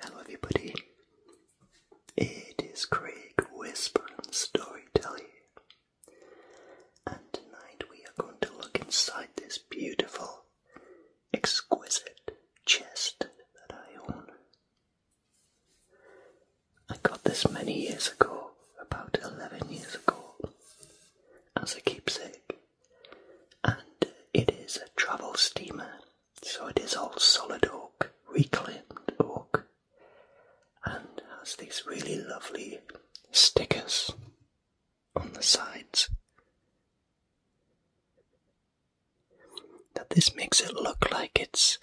Hello, everybody. It is Craig Whisper and Storytelling, and tonight we are going to look inside this beautiful, exquisite chest that I own. I got this many years ago, about 11 years ago, as a keepsake, and it is a travel steamer so it is all solid oak, reclaimed oak, and has these really lovely stickers on the sides. That this makes it look like it's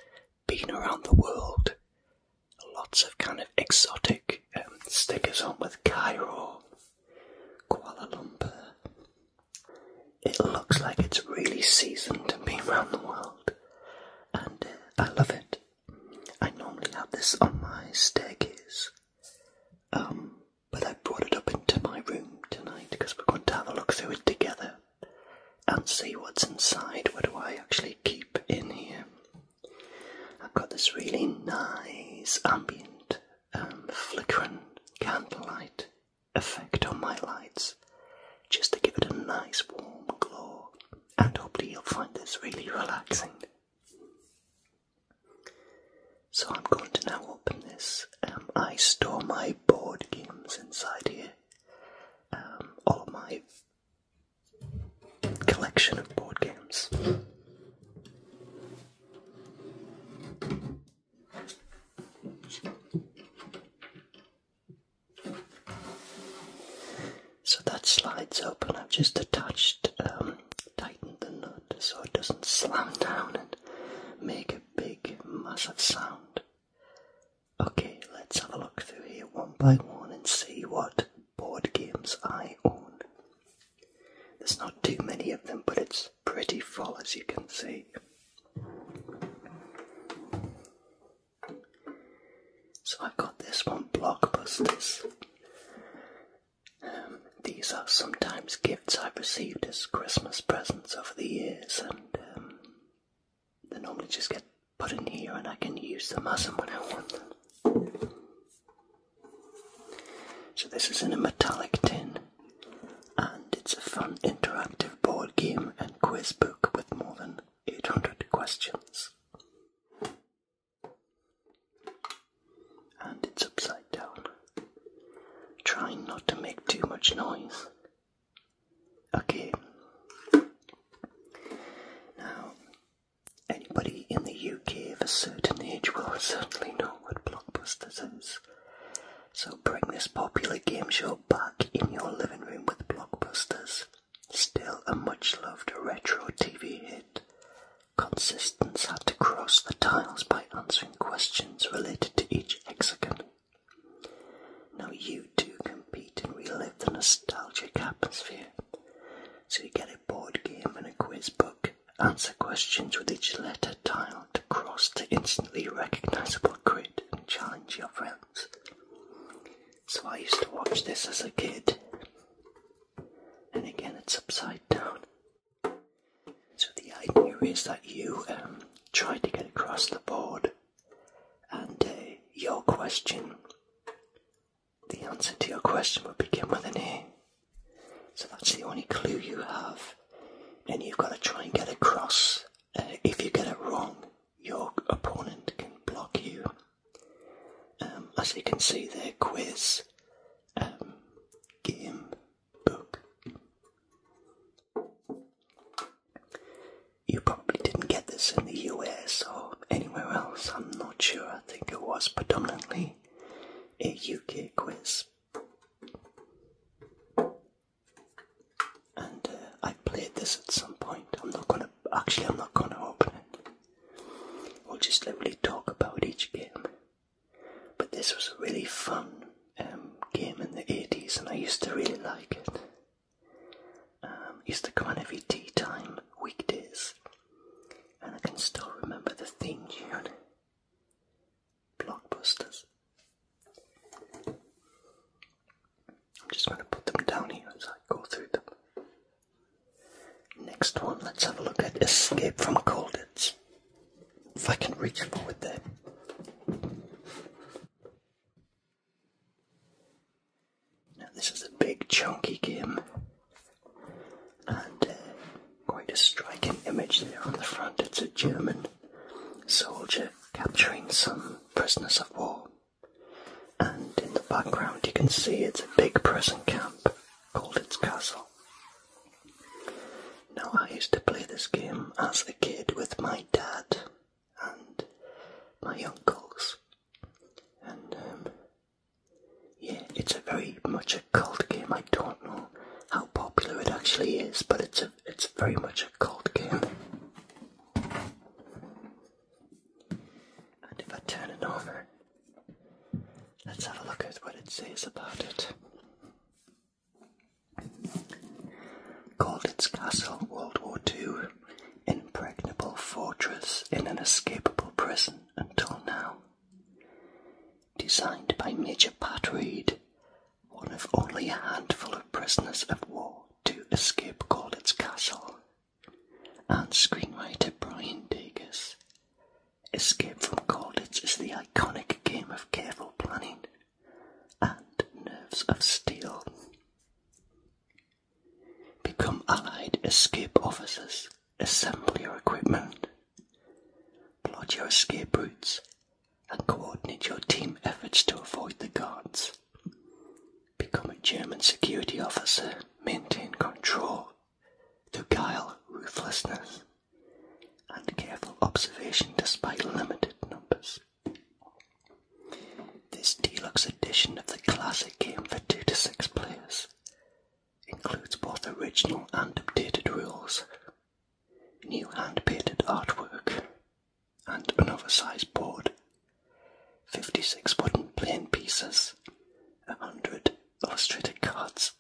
been around the world. Lots of kind of exotic um, stickers on with Cairo, Kuala Lumpur, it looks like it's really seasoned and been around the world, and uh, I love it. I normally have this on my staircase, um, but I brought it up into my room tonight because we're going to have a look through it together and see what's inside. What do I actually keep in here? I've got this really nice ambient um, flickering candlelight effect on my lights just to give it a nice warm glow and hopefully you'll find this really relaxing. So I'm going to now open this. Um, I store my board games inside here. Um, all of my collection of board games. So that slides open. I've just attached, um, tightened the nut so it doesn't slam down and make a big, massive sound. Okay, let's have a look through here one by one and see what board games I own. There's not too many of them, but it's pretty full as you can see. So I've got this one, Blockbusters. Um, these are sometimes gifts I've received as Christmas presents over the years, and um, they normally just get put in here and I can use them as and when I want them. So this is in a metallic tin and it's a fun interactive board game and quiz book with more than 800 questions. And it's upside down. Try not to make too much noise. Okay. Now, anybody in the UK of a certain age will certainly know what Blockbusters is. So bring this popular game show back in your living room with blockbusters. Still a much loved retro TV hit. Consistence had to cross the tiles by answering questions related to each hexagon. Now you two compete and relive the nostalgic atmosphere. So you get a board game and a quiz book, answer questions with each letter tiled cross to instantly recognizable grid and challenge your friends. So I used to watch this as a kid. And again, it's upside down. So the idea is that you um, try to get across the board, and uh, your question, the answer to your question will begin with an A. So that's the only clue you have, and you've got to try and get across if you get it wrong, your opponent can block you. Um, as you can see, their quiz um, game book. You probably didn't get this in the US or anywhere else, I'm not sure. I think it was predominantly a UK quiz and uh, i played this at some point. I'm not gonna actually. I'm not gonna open it. We'll just literally talk about each game. But this was a really fun um, game in the '80s, and I used to really like it. Um, used to come on every tea time weekdays, and I can still remember the theme tune blockbusters. I'm just going to put them down here as I go through them. Next one, let's have a look at Escape from Colditz. If I can reach forward there. Now, this is a big, chunky game, and uh, quite a striking image there on the front. It's a German soldier capturing some prisoners of war. And in the background, you can see it's a big prison camp called its castle. Now, I used to play this game as a kid with my dad and my uncles, and um, yeah, it's a very much a cult game. I don't know how popular it actually is, but it's a it's very much a cold game. And if I turn it over, let's have a look at what it says about it. Called castle World War II, impregnable fortress in an escapable prison until now. Designed by Major Pat Reed one of only a handful of prisoners of war to escape Corlett's castle, and screenwriter Brian Dagus. Escape from Corlett's is the iconic game of careful planning and nerves of steel. Become allied escape officers, assemble your equipment, plot your escape routes, and coordinate your team efforts to avoid the guards. Become a German security officer, maintain control through guile, ruthlessness, and careful observation despite limited numbers. This deluxe edition of the classic game for 2 to 6 players includes both original and updated rules, new hand painted artwork, and an oversized board, 56 wooden playing pieces, 100 illustrated cards,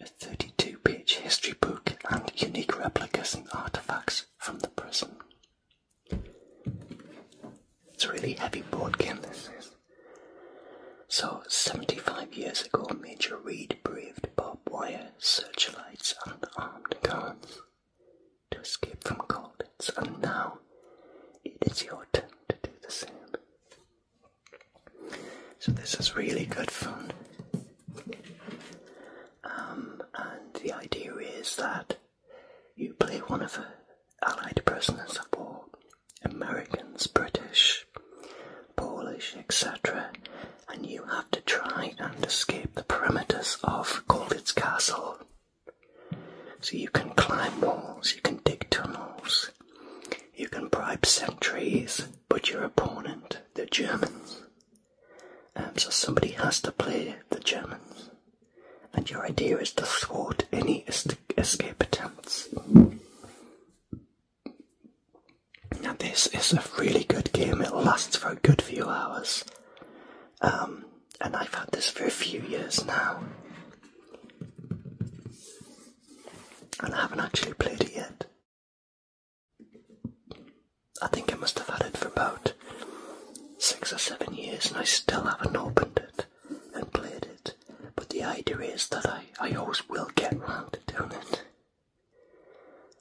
a 32 page history book, and unique replicas and artifacts from the prison. It's a really heavy board game, this is. So, 75 years ago, Major Reed braved barbed wire, searchlights, and armed guards to escape from colditz, and now it is your turn to do the same. So this is really good fun. Um, and the idea is that you play one of Allied prisoners of war, Americans, British, Polish, etc and you have to try and escape the perimeters of Goldit's castle. So you can climb walls, you can dig tunnels, you can bribe sentries, but your opponent, the Germans. and um, so somebody has to play the Germans, and your idea is to thwart any escape attempts. Now this is a really good game, it lasts for a good few hours. Um, and I've had this for a few years now. And I haven't actually played it yet. I think I must have had it for about six or seven years and I still haven't opened it and played it. But the idea is that I, I always will get round to doing it.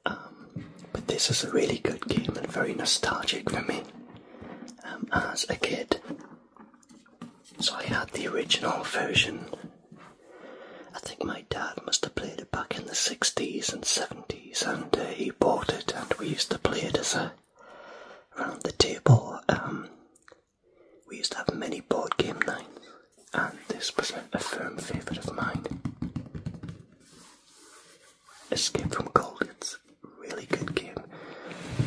Um, but this is a really good game and very nostalgic for me um, as a kid. So I had the original version. I think my dad must have played it back in the 60s and 70s, and uh, he bought it, and we used to play it as a round the table. Um, we used to have many board game nights, and this was a firm favourite of mine. Escape from Cold. It's a really good game.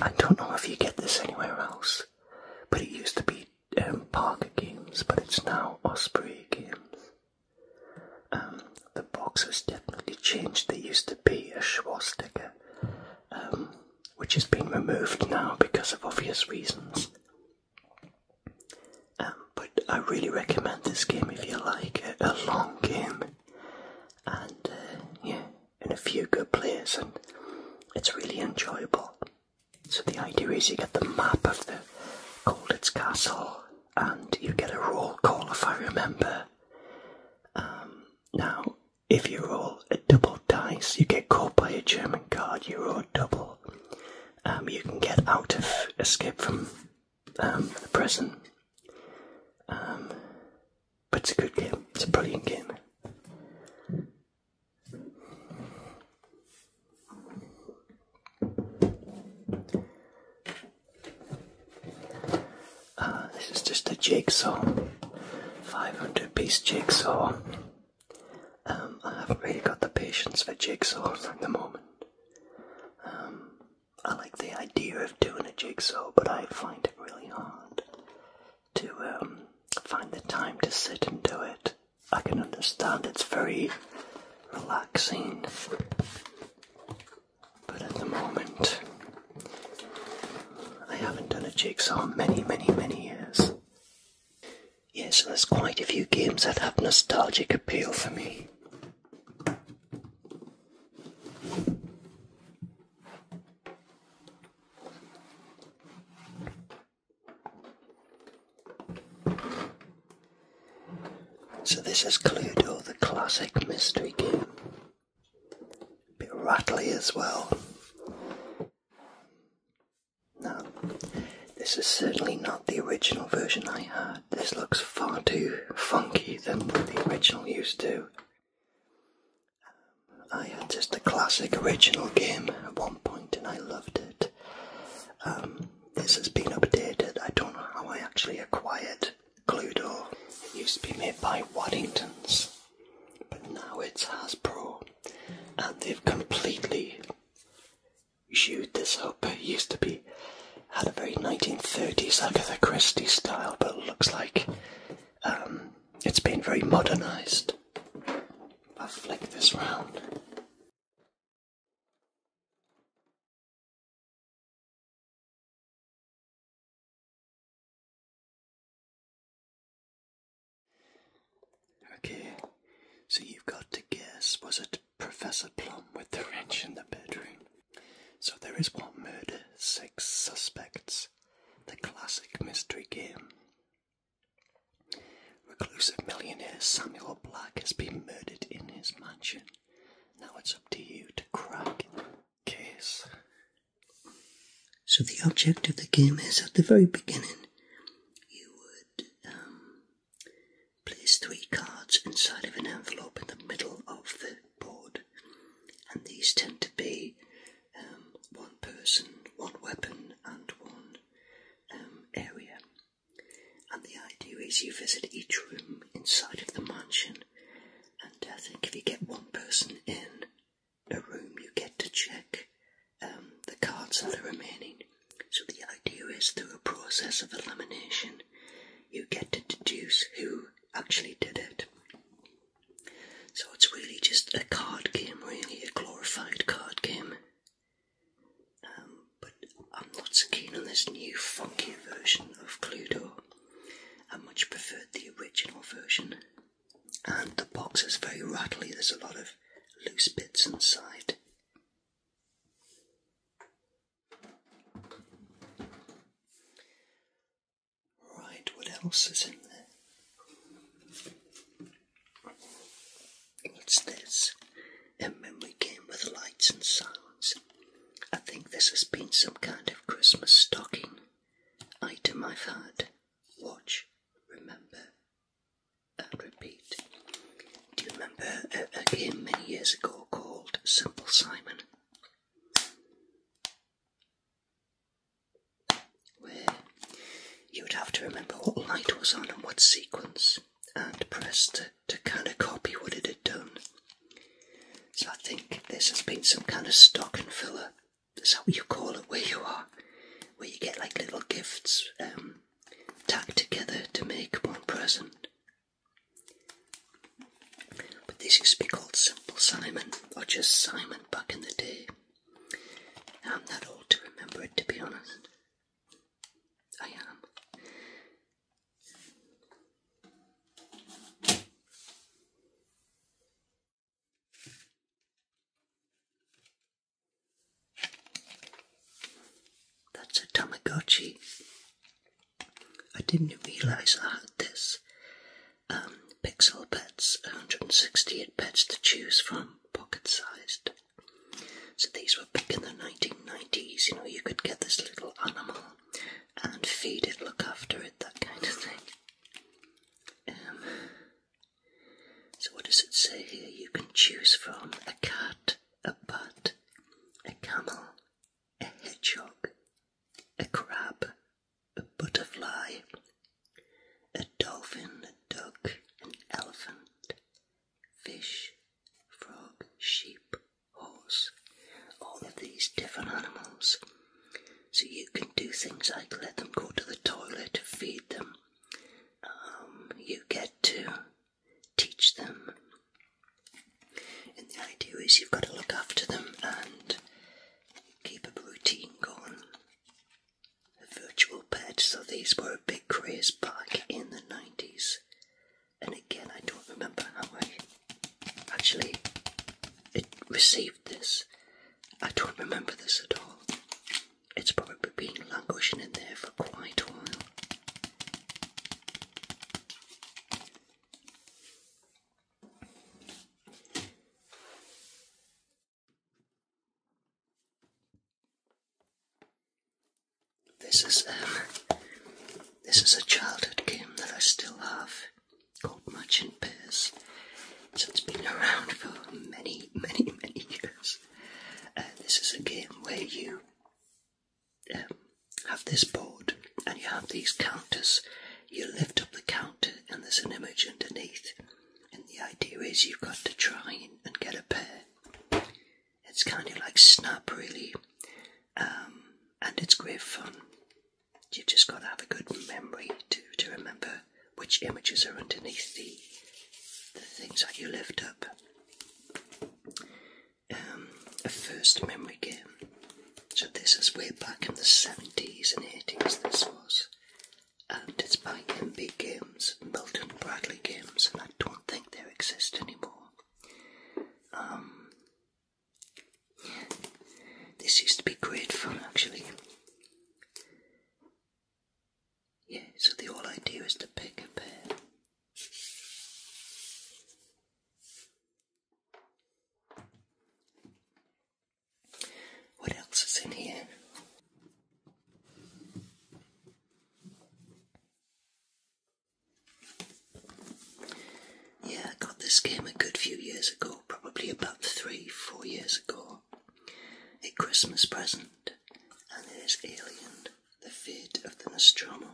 I don't know if you get this anywhere else, but it used to be um, Parker Games, but it's now Osprey Games. Um, the box has definitely changed. There used to be a swastika, um, which has been removed now because of obvious reasons. Um, but I really recommend this game if you like a, a long game, and uh, yeah, and a few good players, and it's really enjoyable. So the idea is you get the map of the Colditz Castle, and you get a roll call if I remember. Um, now, if you roll a double dice, you get caught by a German guard. You roll double. Um, you can get out of escape from um, the present. Um, but it's a good game. It's a brilliant game. Uh, this is just a jigsaw, 500 piece jigsaw. Um, I haven't really got the patience for jigsaws at the moment. Um, I like the idea of doing a jigsaw, but I find it really hard to um, find the time to sit and do it. I can understand it's very relaxing, but at the moment, I haven't done a jigsaw in many, many, many years. Yes, there's quite a few games that have nostalgic appeal for me. So this is Cluedo, the classic mystery game. A bit rattly as well. Now, this is certainly not the original version I have. This looks far too funky than the original used to. Um, I had just a classic original game at one point and I loved it. Um, this has been updated. I don't know how I actually acquired Cluedo. It used to be made by Waddingtons, but now it's Hasbro. And they've completely chewed this up. It used to be had a very 1930s Agatha Christie style, but looks like um, it's been very modernised. I'll flick this round. Okay, so you've got to guess was it Professor Plum with the wrench in the bedroom? So there is one murder, six suspects, the classic mystery game. Reclusive millionaire Samuel Black has been murdered in his mansion. Now it's up to you to crack the case. So the object of the game is at the very beginning, you would um, place three cards inside of an envelope in the middle of the board, and these tend to be um, one person, one weapon, and one um, area. And the idea is you visit each room inside of the mansion, and I think if you get one person in a room, you get to check um, the cards that the remaining. So the idea is through a process of elimination, you get to deduce who actually did it. So it's really just a card game, really, a glorified card game. Um, but I'm not so keen on this new funky version of Cluedo. I much preferred the original version. And the box is very rattly, there's a lot of loose bits inside. Right, what else is in there? It's this? A memory game with lights and sounds. I think this has been some kind of Christmas stocking item I've had. Watch, remember, and repeat. Do you remember a game many years ago called Simple Simon? where you would have to remember what light was on and what sequence and press to, to kind of copy what it had done. So I think this has been some kind of stock and filler. That's how you call it where you are? Where you get like little gifts um, tacked together to make one present. But this used to be called Simple Simon or just Simon back in the day. I'm not old to remember it to be honest. I am. That's a Tamagotchi. I didn't realise I had this. Um, Pixel Pets, 168 pets to choose from, pocket sized. So these were back in the 1990s, you know, you could get this little animal and feed it, look after it, that kind of thing. Um, so, what does it say here? You can choose from a cat, a bat, a camel, a hedgehog, a crab, a butterfly, a dolphin, a duck, an elephant, fish, frog, sheep, horse, all of these different animals. So you can do things like let them go to the toilet, feed them, um, you get to teach them and the idea is you've got to look after them and keep a routine going. virtual pets. so these were a big craze back in the 90s. And again, I don't remember how I actually received this. I don't remember this at all. It's probably been languishing in there for quite a while. This is um, this is a childhood game that I still have called Match and Pairs. So it's been around for many, many, many years. Uh, this is a game where you um, have this board and you have these counters. You lift up the counter and there's an image underneath. And the idea is you've got to try and get a pair. It's kind of like Snap, really. Um, and it's great fun. You've just got to have a good memory to, to remember which images are underneath the, the things that you lift up. Um, a first memory game so this is way back in the 70s and 80s this was. And it's by MB Games, Milton Bradley Games, and I don't think they exist anymore. Um, This used to be great fun actually. Yeah, so the whole idea is to pick a pair. What else is in here? Yeah, I got this game a good few years ago, probably about three, four years ago. A Christmas present, and it is Alien, the fate of the Nostromo.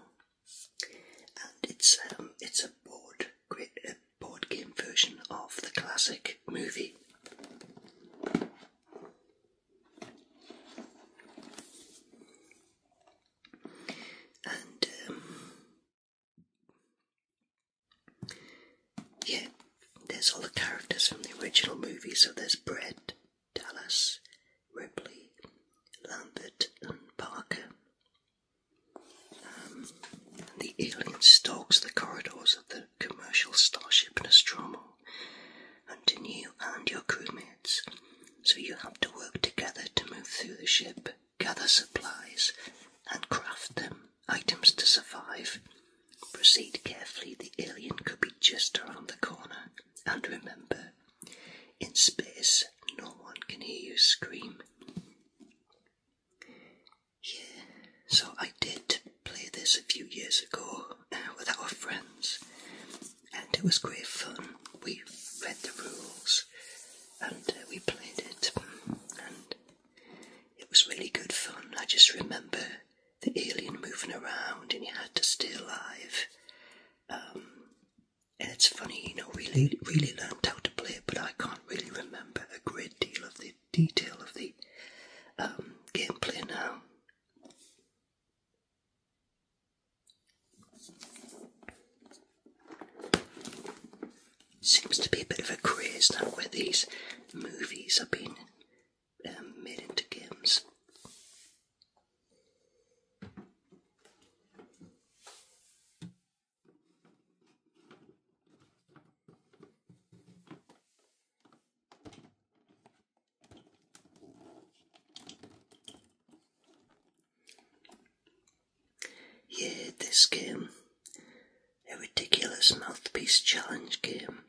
And it's um, it's a board, game board game version of the classic movie. And um, yeah, there's all the characters from the original movie. So there's Brett, Dallas, Ripley, Lambert, and Parker the alien stalks the corridors of the commercial starship Nostromo, hunting you and your crewmates, so you have to work together to move through the ship, gather supplies, and craft them items to survive. Proceed carefully, the alien could be just around the corner, and remember, in space, no one can hear you scream. Yeah, so I did play this a few years ago uh, with our friends, and it was great fun. We read the rules and uh, we played it, and it was really good fun. I just remember the alien moving around, and you had to stay alive. Um, and it's funny, you know, really, really learned how to play it, but I can't can really remember a great deal of the detail of the um, gameplay now. Seems to be a bit of a craze now where these movies are being um, made into games. Yeah, this game, a ridiculous mouthpiece challenge game.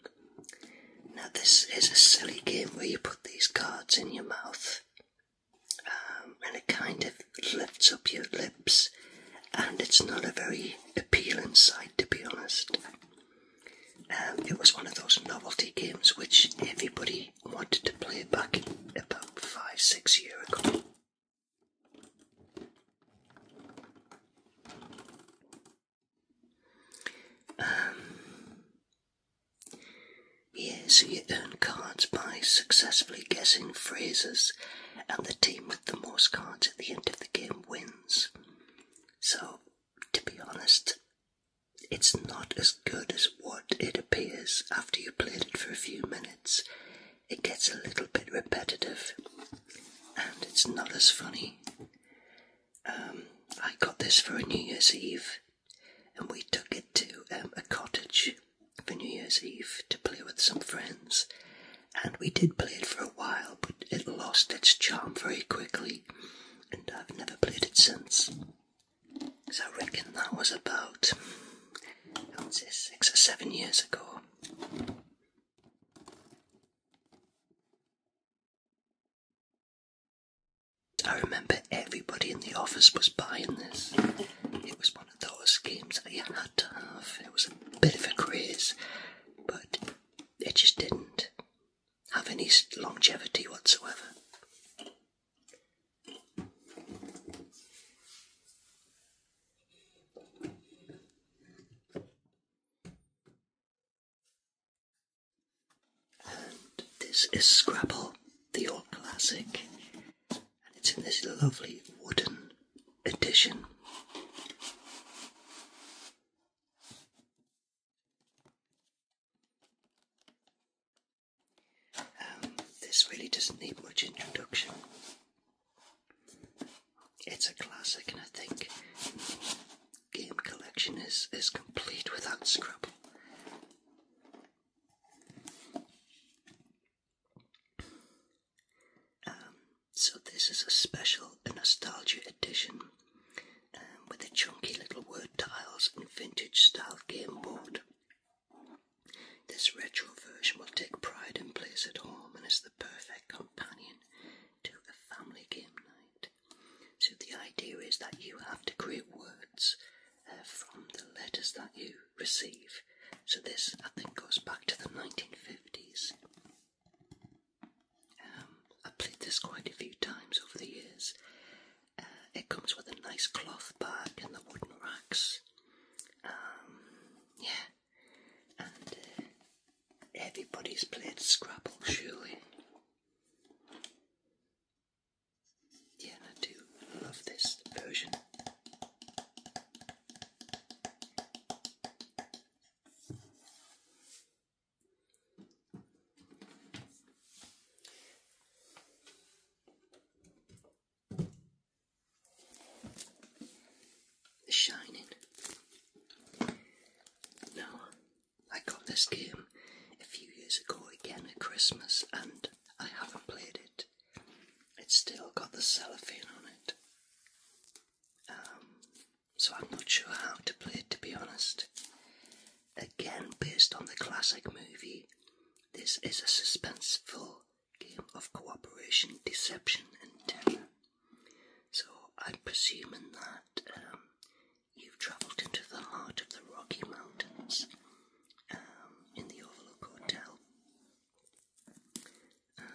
Now, this is a silly game where you put these cards in your mouth, um, and it kind of lifts up your lips, and it's not a very appealing sight to be honest. Um, it was one of those novelty games which everybody wanted to play back about five, six years ago. Um, yeah, so you earn cards by successfully guessing phrases and the team with the most cards at the end of the game wins. So, to be honest, it's not as good as what it appears after you've played it for a few minutes. It gets a little bit repetitive and it's not as funny. Um, I got this for a New Year's Eve and we took it to um, a cottage for New Year's Eve to play with some friends, and we did play it for a while, but it lost its charm very quickly, and I've never played it since. So I reckon that was about, six or seven years ago. I remember everybody in the office was buying this. It was one of those games that you it was a bit of a craze, but it just didn't have any longevity whatsoever. And this is Scrabble, the old classic and it's in this lovely wooden edition. Um, this really doesn't need much introduction. It's a classic, and I think game collection is, is complete without Scrabble. Um, so this is a special nostalgia edition um, with the chunky little word tiles and vintage style game board. This retro version will take pride in place at home and is the perfect companion to a family game night. So the idea is that you have to create words uh, from the letters that you receive so this, I think, goes back to the 1950s. Um, I played this quite a few times over the years. Uh, it comes with a nice cloth bag and the wooden racks. Um, yeah, and uh, everybody's played Scrabble, surely. Yeah, I do love this version. The Shining. Now, I got this game a few years ago again at Christmas and I haven't played it. It's still got the cellophane on it. Um, so I'm not sure how to play it to be honest. Again, based on the classic movie, this is a suspenseful game of cooperation, deception, and terror. So I'm presuming that um, you've travelled into the heart of the Rocky Mountains um, in the Overlook Hotel. Um,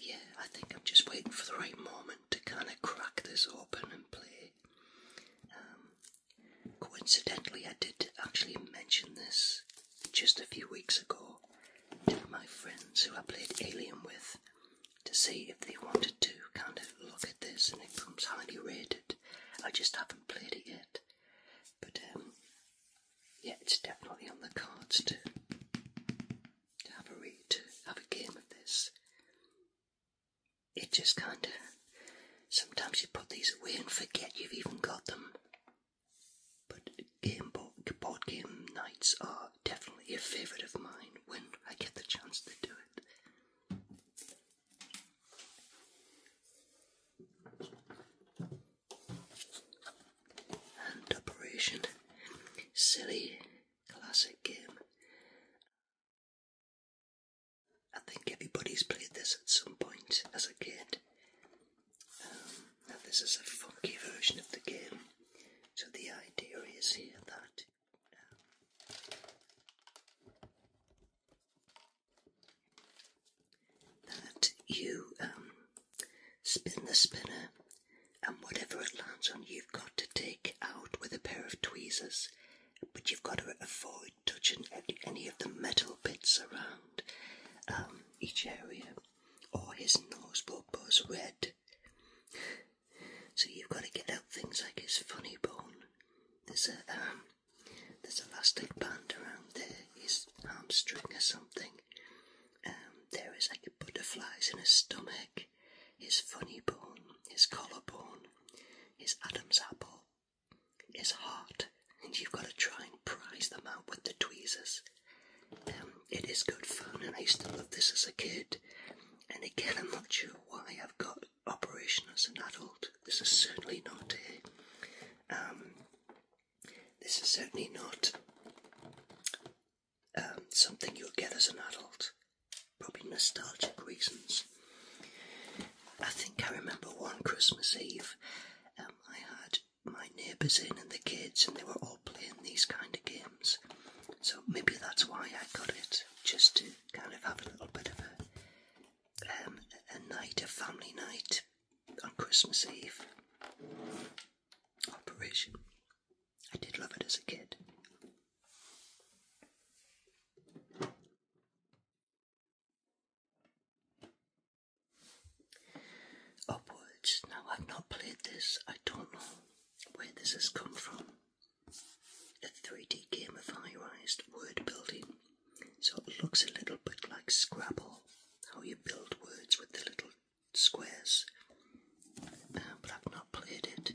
yeah, I think I'm just waiting for the right moment to kind of crack this open and play. Um, coincidentally, I did actually mention this just a few weeks ago to my friends who I played Alien with to see if they wanted to kind of look at this and it comes highly rated. I just haven't played it yet. But um, yeah, it's definitely on the cards to, to have a read, to have a game of this. It just kind of, sometimes you put these away and forget you've even got them. But game board, board game nights are definitely a favourite of mine when I get the chance to do it and Operation Silly Classic Game. I think everybody's played this at some point as a kid. Um, now, this is a funky version of the game, so the idea is here that. Um, that you um, spin the spinner and whatever it lands on, you've got to take out with a pair of tweezers, but you've got to avoid touching any of the metal bits around um, each area, or his nose will buzz red. So you've got to get out things like his funny bone. There's a um, there's a elastic band around there, his hamstring or something, um, there is like butterflies in his stomach, his funny bone, his collarbone, his Adam's apple, his heart, and you've got to try and prise them out with the tweezers. Um, it is good fun, and I used to love this as a kid. And again, I'm not sure why I've got Operation as an adult. This is certainly not it. Um, this is certainly not um, something you'll get as an adult, probably nostalgic reasons. I think I remember one Christmas Eve, um, I had my neighbours in and the kids, and they were all playing these kind of games. So maybe that's why I got it, just to kind of have a little bit of a um, a night, a family night on Christmas Eve operation. I did love it as a kid. Upwards. Now, I've not played this, I don't know where this has come from. A 3D gamified word building. So it looks a little bit like Scrabble, how you build words with the little squares, um, but I've not played it.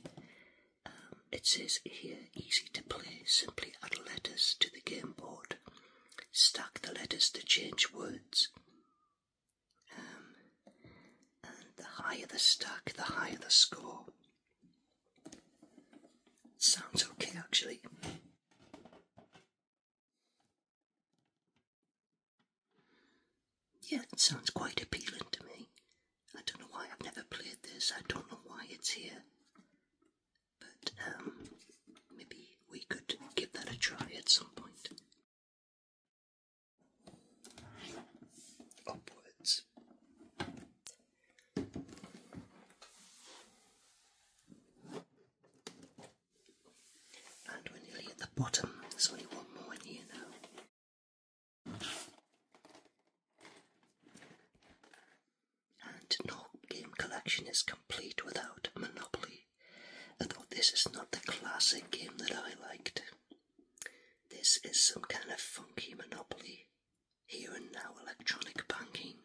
Um, it says here, easy to play. Simply add letters to the game board. Stack the letters to change words. Um, the higher the stack, the higher the score. Sounds okay, actually. Yeah, it sounds quite appealing to me. I don't know why I've never played this. I don't know why it's here. But um, maybe we could give that a try at some point. Upwards. And we're nearly at the bottom. There's only one more in here now. And no game collection is complete without Monopoly, although this is not the classic game that I liked. This is some kind of funky Monopoly. Here and now electronic banking.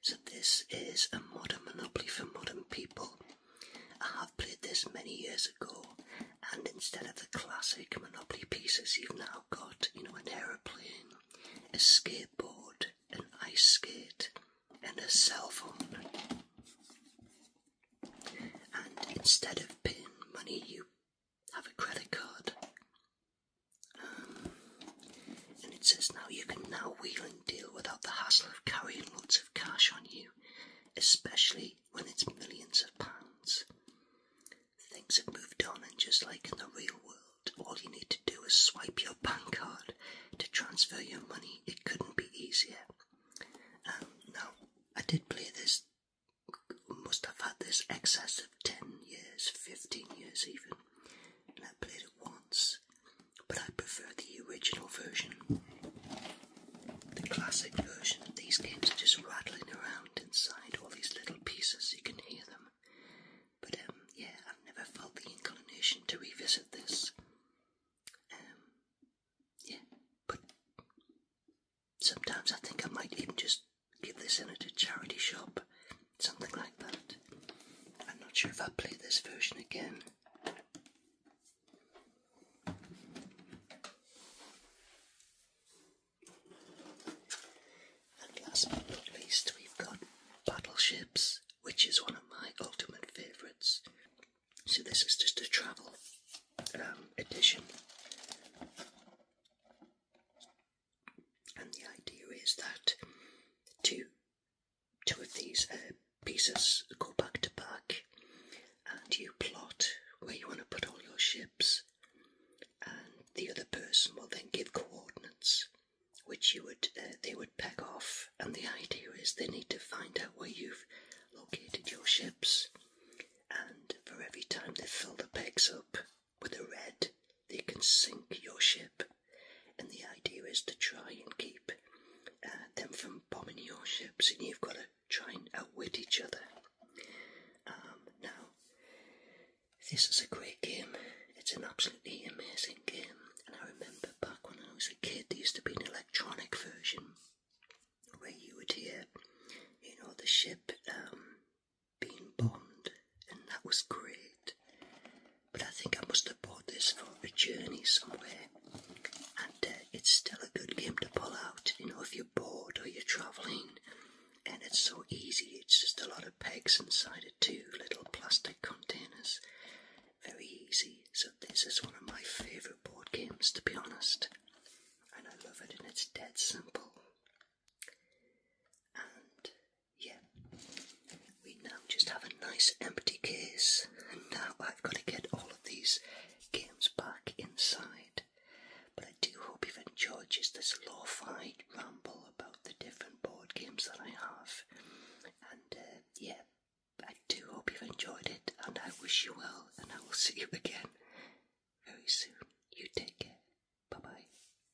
So this is a modern Monopoly for modern people. I have played this many years ago, and instead of the classic Monopoly pieces, you've now got, you know, an aeroplane, a skateboard, an ice skate, and a cell phone. And instead of paying money, you have a credit card. Um, and it says now you can now wheel and deal without the hassle of carrying lots of cash on you, especially when it's millions of pounds. Things have moved on, and just like in the real world, all you need to do is swipe your bank card to transfer your money. It couldn't be easier. Um, now, I did play this, must have had this excessive 10 years, 15 years even, I played it once, but I prefer the original version. The classic version, these games are just rattling around inside all these little pieces, you can hear them. But um, yeah, I've never felt the inclination to revisit this. Um, yeah, but sometimes I think I might even just Give this in at a charity shop, something like that. I'm not sure if i play this version again. And last but not least, we've got Battleships, which is one of my ultimate favourites. So, this is just a travel um, edition. And the idea is that two, two of these uh, pieces go back to back, and you plot where you want to put all your ships, and the other person will then give coordinates, which you would uh, they would peg off. And the idea is they need to find out where you've located your ships, and for every time they fill the pegs up, with a red, they can sink your ship. And the idea is to try and keep uh, them from bombing your ships, and you've got to try and outwit each other. Um, now, this is a great game. It's an absolutely amazing game. And I remember back when I was a kid, there used to be an electronic version where you would hear, you know, the ship um, been bombed, and that was great. But I think I must have bought this for a journey somewhere, and uh, it's still a good game to pull out, you know, if you're bored or you're travelling. And it's so easy, it's just a lot of pegs inside of two little plastic containers. Very easy. So, this is one of my favourite board games, to be honest. And I love it, and it's dead simple. And yeah, we now just have a nice empty case, and now I've got to get all of these games back inside. But I do hope you've enjoyed just this lo-fi ramble about the different board games that I have. And uh, yeah, I do hope you've enjoyed it, and I wish you well, and I will see you again very soon. You take care. Bye bye.